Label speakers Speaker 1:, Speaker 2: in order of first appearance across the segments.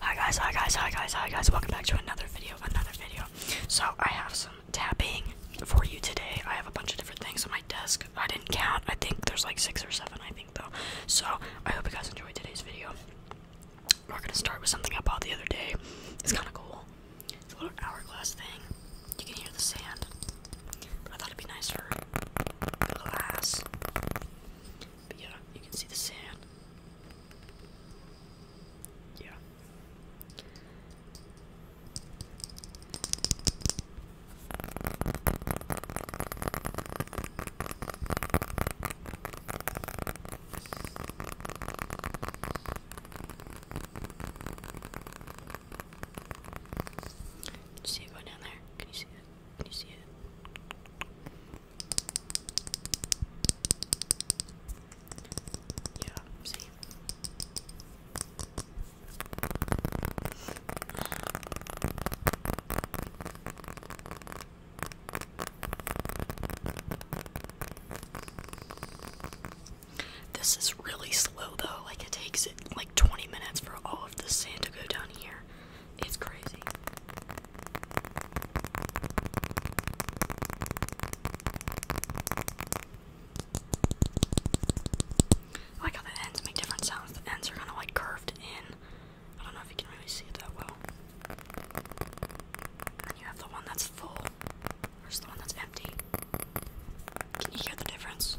Speaker 1: Hi guys, hi guys, hi guys, hi guys. Welcome back to another video, another video. So I have some tapping for you today. I have a bunch of different things on my desk. I didn't count. I think there's like six or seven, I think though. So I hope you guys enjoyed today's video. We're gonna start with something I bought the other day. It's kinda cool. It's a little hourglass thing. You can hear the sand. I thought it'd be nice glass. But yeah, you can see the sand. Yeah. see it go down there? Can you see it? Can you see it? This is really slow though, like it takes it like 20 minutes for all of the sand to go down here. It's crazy. like how the ends make different sounds. The ends are kind of like curved in. I don't know if you can really see it that well. And you have the one that's full versus the one that's empty. Can you hear the difference?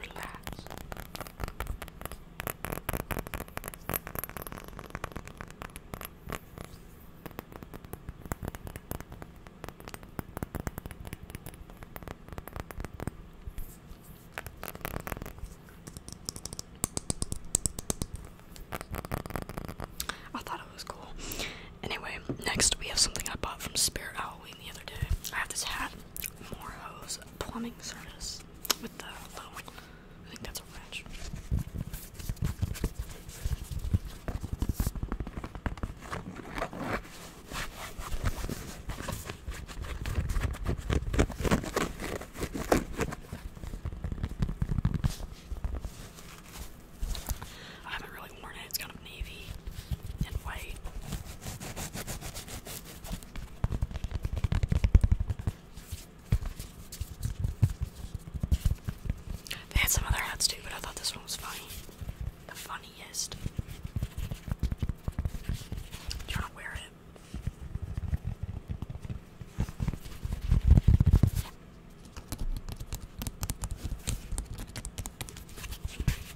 Speaker 1: Relax. I thought it was cool. Anyway, next we have something I bought from Spirit Halloween the other day. I have this hat more Morho's plumbing service with the I think that's a French. I haven't really worn it, it's kind of navy. They had some other hats too, but I thought this one was funny. The funniest. Do to wear it?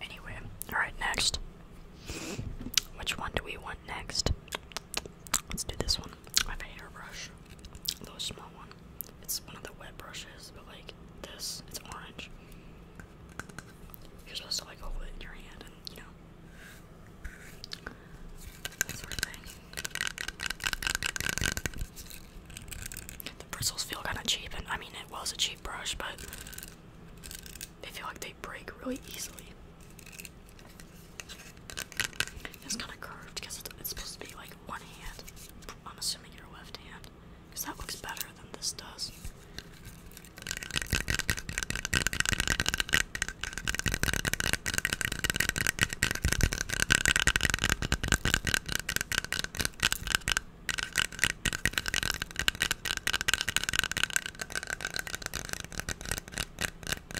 Speaker 1: Anyway, alright, next. Which one do we want next? Let's do this one. I have a hairbrush. Those small ones. It's one of the wet brushes, but like this, it's orange. You're supposed to like hold it in your hand and you know that sort of thing. The bristles feel kind of cheap, and I mean it was a cheap brush, but they feel like they break really easily. It's kind of curved because it's, supposed to be like one hand. I'm assuming your left hand because that looks better than this does.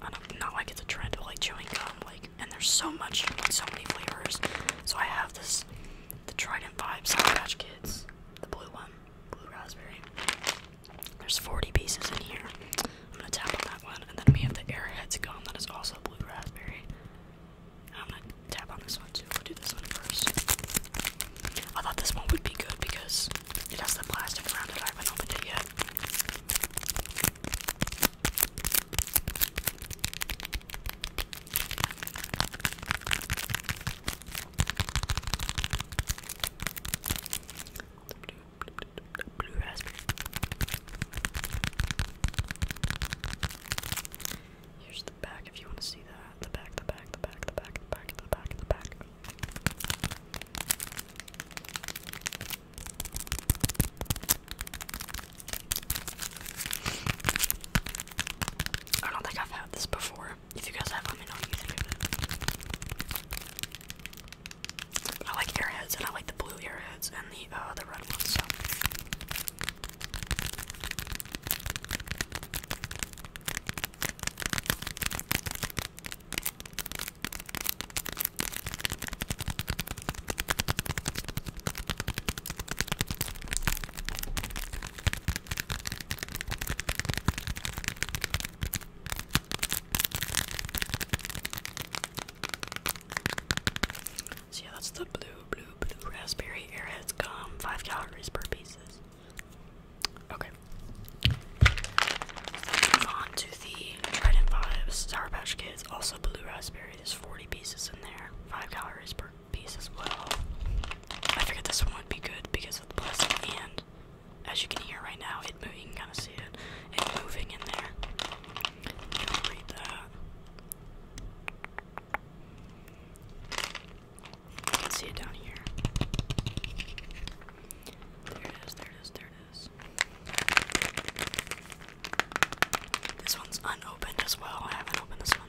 Speaker 1: I don't, not like it's a trend, but like chewing gum, like, and there's so much, like, so many flavors. So I have this, the Trident Vibe Sour Patch Kids, the blue one, blue raspberry. There's 40 pieces in here. I'm gonna tap on that one, and then we have the Airheads gum that is also blue raspberry. I'm gonna tap on this one too. i will do this one first. I thought this one would be good because it has the plastic around it. I haven't opened it yet. Blue, blue raspberry. Here's the back if you want to see that. The back, the back, the back, the back, the back, the back, the back. The back. I don't think I've had this before. If you guys have, let me know I like airheads, and I like the blue airheads and the uh, the red ones. So yeah, that's the blue, blue, blue raspberry airheads come. five calories per pieces. Okay. Move on to the bread and Sour Patch Kids, also blue raspberry. There's 40 pieces in there, 5 calories per piece as well. I figured this one would be good because of the plastic, and as you can hear right now, it you kind of see it, it moving in there. You can read that. see it down here. There it is, there it is, there it is. This one's unopened as well. I haven't opened this one.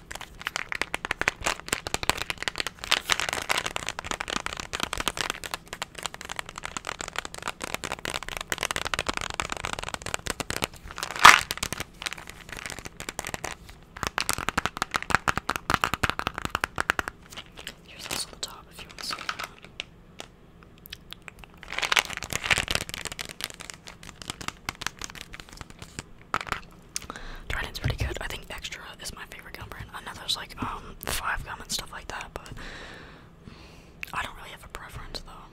Speaker 1: Here's also the top if you want to see that. Trident's pretty good. I think Extra is my favorite gum brand. I know there's like um five gum and stuff like that, but I don't really have a preference though.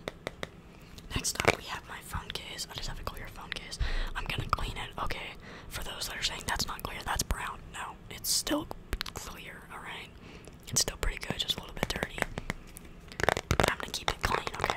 Speaker 1: Next up, we have my phone case. I just have a clear phone case. I'm gonna clean it. Okay, for those that are saying that's not clear, that's brown. No, it's still clear. All right, it's still pretty good, just a little bit dirty. I'm gonna keep it clean. Okay.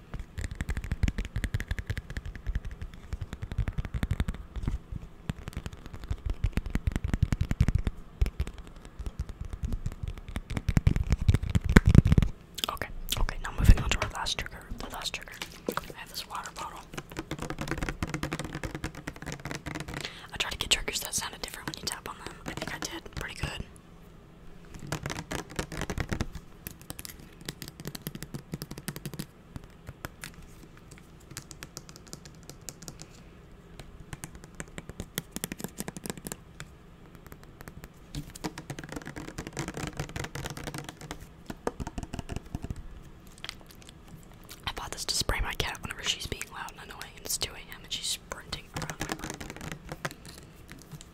Speaker 1: Okay, okay, now moving on to our last trigger. The last trigger. I have this water bottle. I tried to get triggers that sounded different when you tap on them. I think I did pretty good. I bought this to spray my cat whenever she's being loud and annoying. It's 2 a.m. and she's sprinting around my room.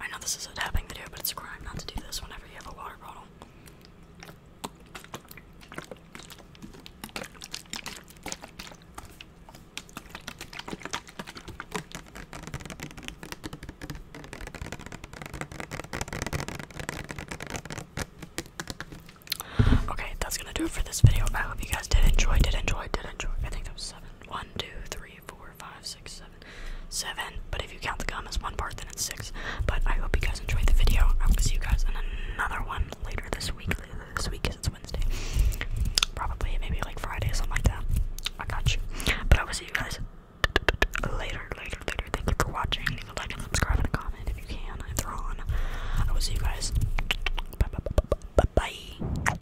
Speaker 1: I know this is a tapping video, but it's a crime not to do this whenever you have a water bottle. Okay, that's gonna do it for this video. I hope you guys did enjoy, did enjoy, did enjoy. I think that was seven. One, three, four, five, six, seven, seven. But if you count the commas one part, then it's six. But I hope you guys enjoyed the video. I will see you guys in another one later this week. Later this week, because it's Wednesday. Probably maybe like Friday, something like that. I got you. But I will see you guys later, later, later. Thank you for watching. Leave a like and subscribe and comment if you can. If they're I will see you guys. Bye bye bye bye. bye.